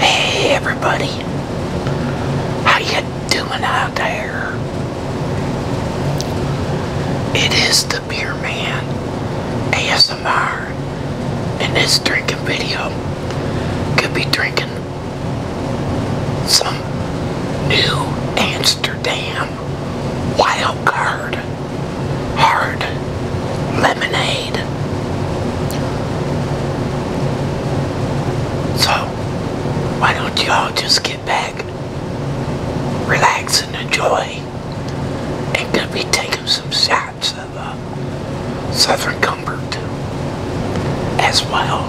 Hey everybody, how you doing out there? It is the Beer Man ASMR, and this drinking video could be drinking some new Amsterdam wild card hard lemonade. So, why don't y'all just get back, relax and enjoy, and gonna be taking some shots of uh, Southern Comfort as well.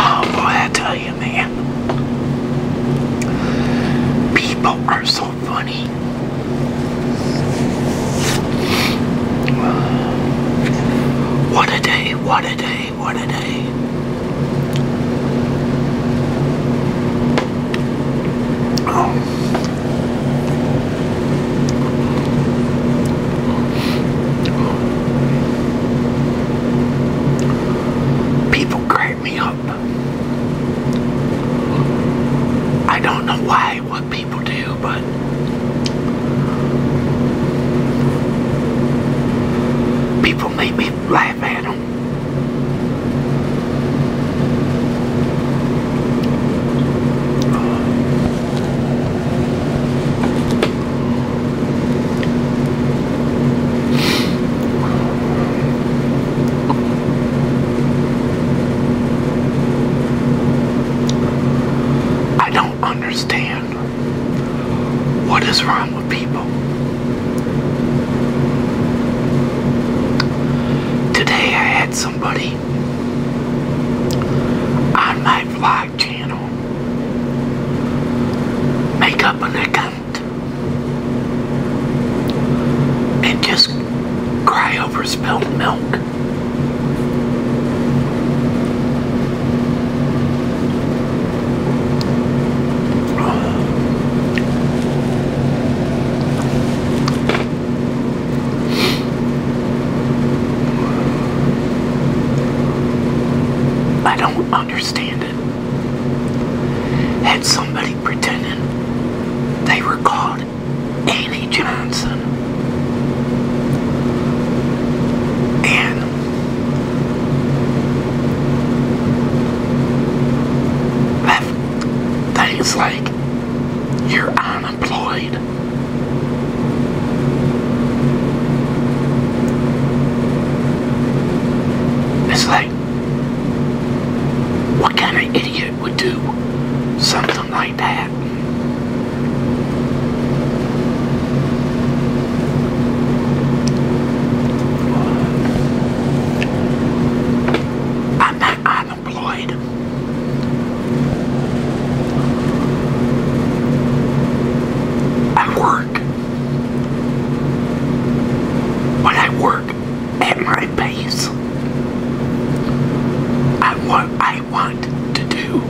Oh boy, I tell you, man. People are so funny. What a day, what a day, what a day. People crack me up. I don't know why, what people do, but people make me laugh at them. I don't understand what is wrong with people. Today I had somebody on my fly Make up an account. And just cry over spilled milk. I don't understand it. Had somebody pretending they were called Annie Johnson. And left things like you're unemployed. It's like, what kind of idiot would do something like that? I'm not unemployed. I work. When I work at my pace, I want I want to do.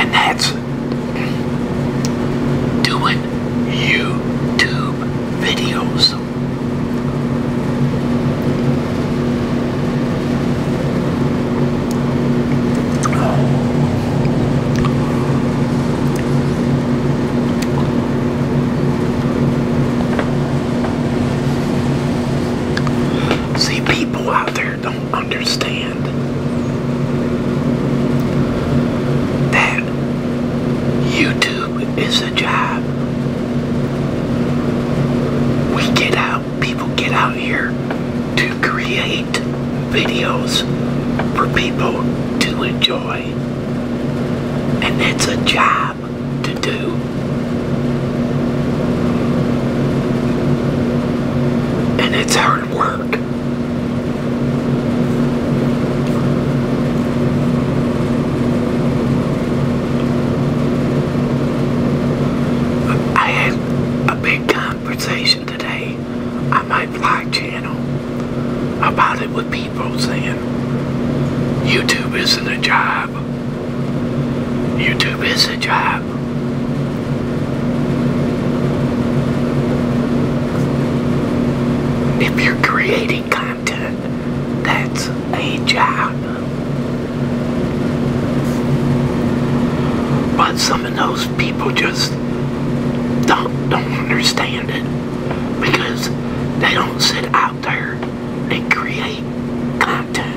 And that's doing YouTube videos. See, people out there don't understand that YouTube it's is job. We get out, people get out here to create videos for people to enjoy. And that's a job to do. And it's hard work. I had a big conversation today on my vlog channel about it with people saying YouTube isn't a job. YouTube is a job. If you're creating that's a job. But some of those people just don't, don't understand it because they don't sit out there and create content.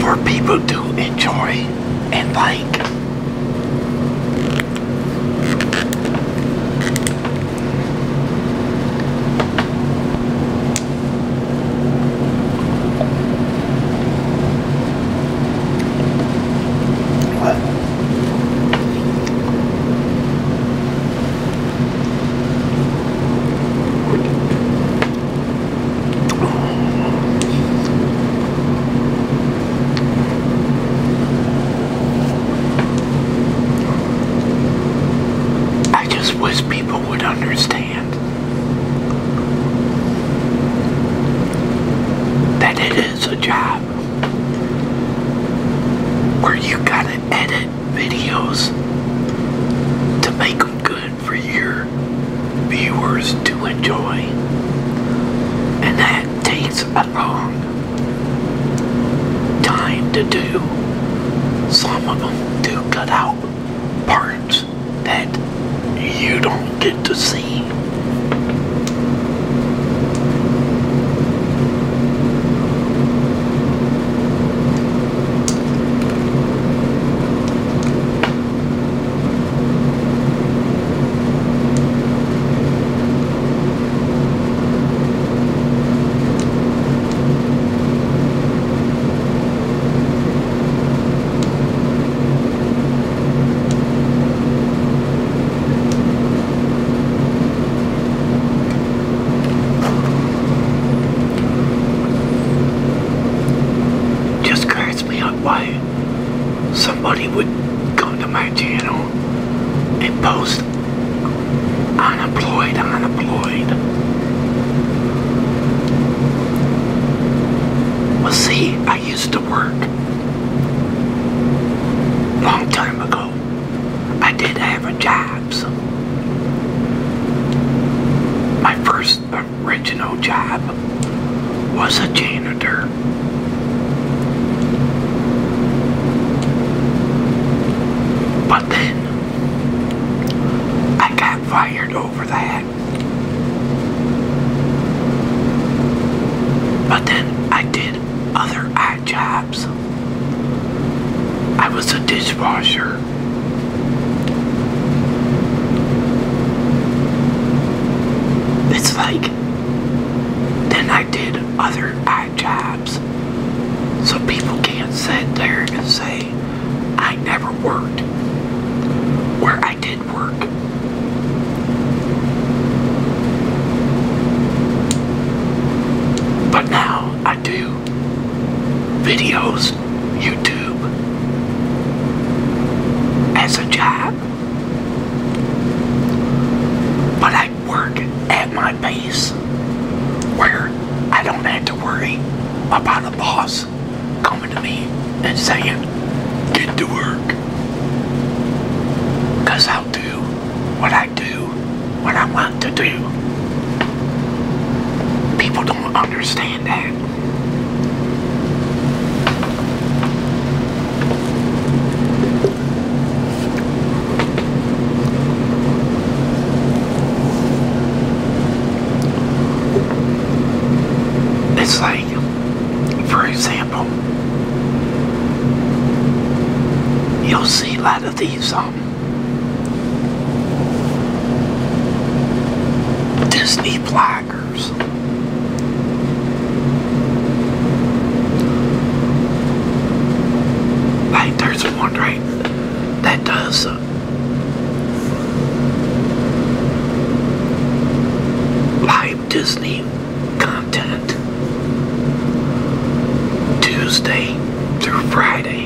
For people to enjoy and like. I just wish people would understand that it it's a job where you gotta edit videos to make good for your viewers to enjoy. And that takes a long time to do. Some of do cut out parts that you don't get to see. Just cracks me up why somebody would come to my channel and post unemployed, unemployed. Well, see, I used to work. Long time ago, I did have a job. my first original job was a janitor. But then I got fired over that. But then I did other odd jobs. I was a dishwasher. It's like, then I did other odd jobs. So people can't sit there and say, I never worked. Where I did work. But now I do videos, YouTube, as a job. But I work at my base where I don't have to worry about the boss coming to me and saying, get to work. i do what I do when I want to do. People don't understand that. It's like, for example, You'll see a lot of these um Disney bloggers. Like there's one right that does uh, Disney content Tuesday through Friday.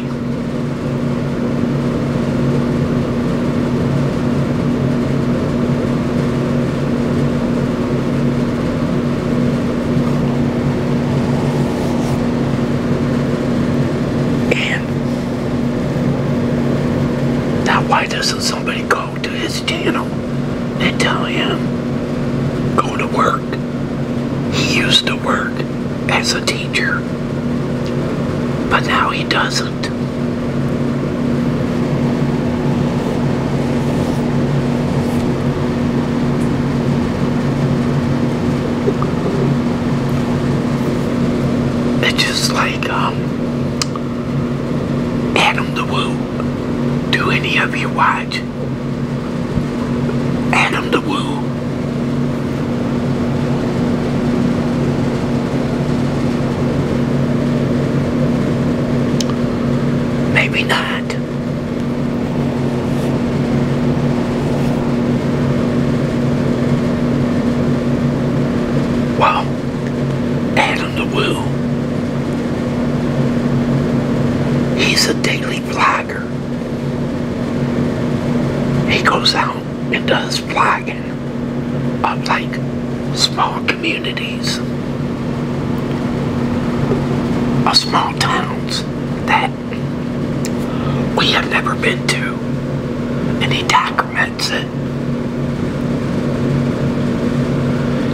And now why doesn't somebody call go to his channel and tell him, go to work. He used to work as a teacher, but now he doesn't. It's just like, um, Adam the Woo. Do any of you watch Adam the Woo? Maybe not. Wow. Adam the Woo. He's a daily vlogger. He goes out and does vlogging of like small communities of small towns that we have never been to. And he documented sacraments it.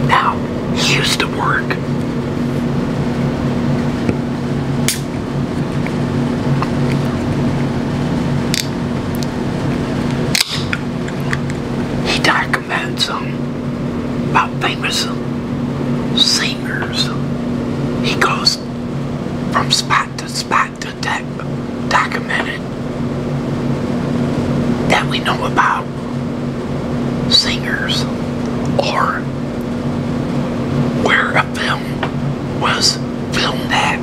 Now, he used to work he documents um, about famous singers. He goes from spot to spot to document it that we know about singers or where a film was filmed at.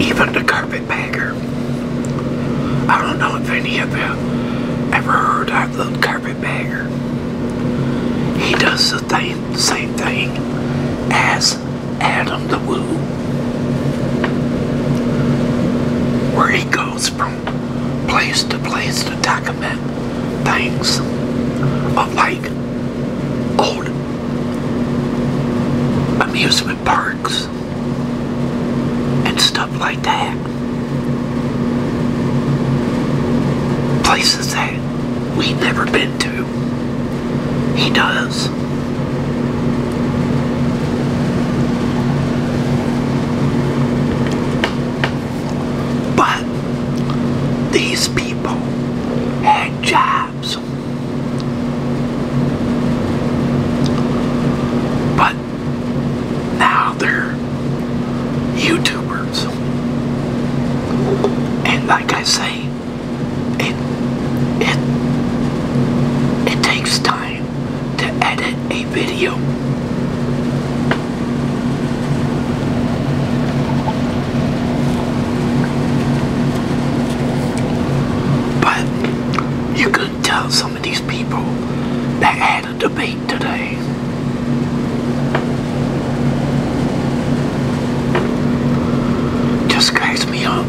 Even the carpetbagger. I don't know if any of you ever heard of the carpetbagger. He does the thing, same thing as Adam the Woo, where he goes from place to place to document things of like old amusement parks and stuff like that. Places that we've never been to. He does. But these people had jobs. But now they're YouTubers. And like I say, it, it, it takes time to edit a video. But you could tell some of these people that had a debate today just cracks me up.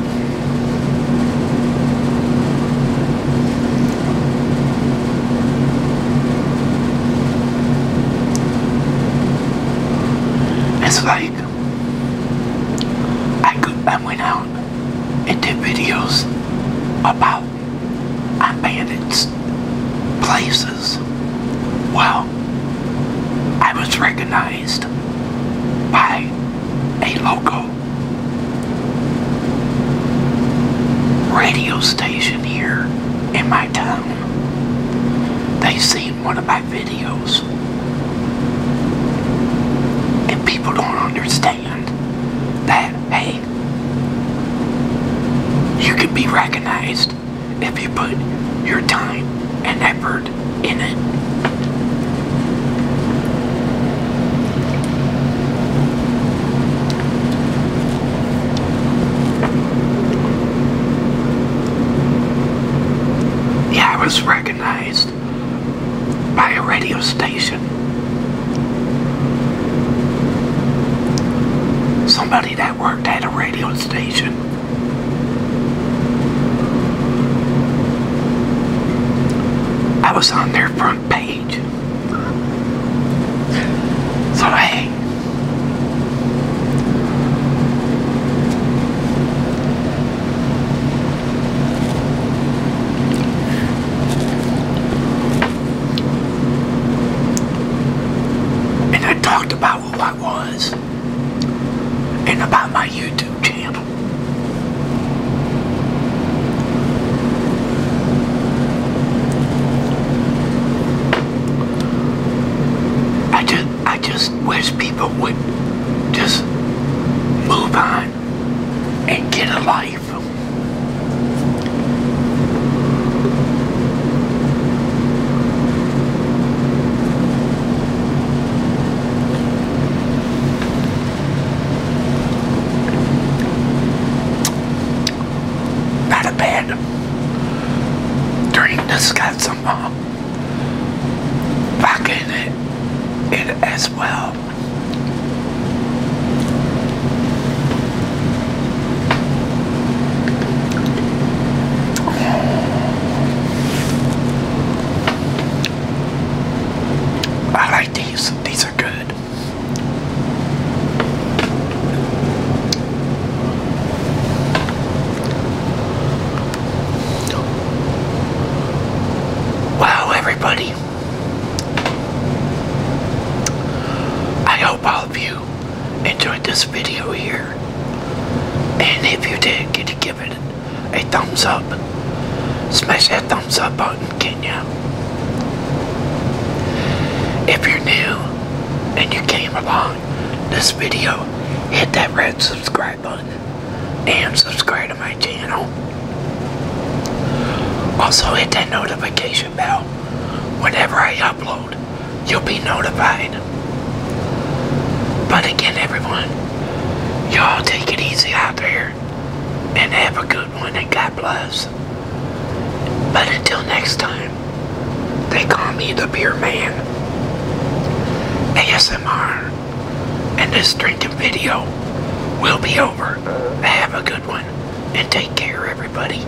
It's like I could I went out and did videos about abandoned places. Well, I was recognized organized by a local radio station here in my town. They seen one of my videos. And people don't understand that, hey, you can be recognized if you put your time and effort in it. Yeah, I was recognized by a radio station. Somebody that worked at a radio station I was on their front page. So, and I talked about I was and about my YouTube channel. I just, I just wish people would just move on and get a life. Not a bad drink that's got some uh, vodka it, it as well. I like these. These are good. Wow, everybody. I hope all of you enjoyed this video here. And if you did, give it a thumbs up? Smash that thumbs up button, Kenya. If you're new and you came along this video, hit that red subscribe button and subscribe to my channel. Also hit that notification bell whenever I upload you'll be notified. But again, everyone, y'all take it easy out there and have a good one and God bless. But until next time, they call me the Beer Man. ASMR. And this drinking video will be over. Have a good one and take care, everybody.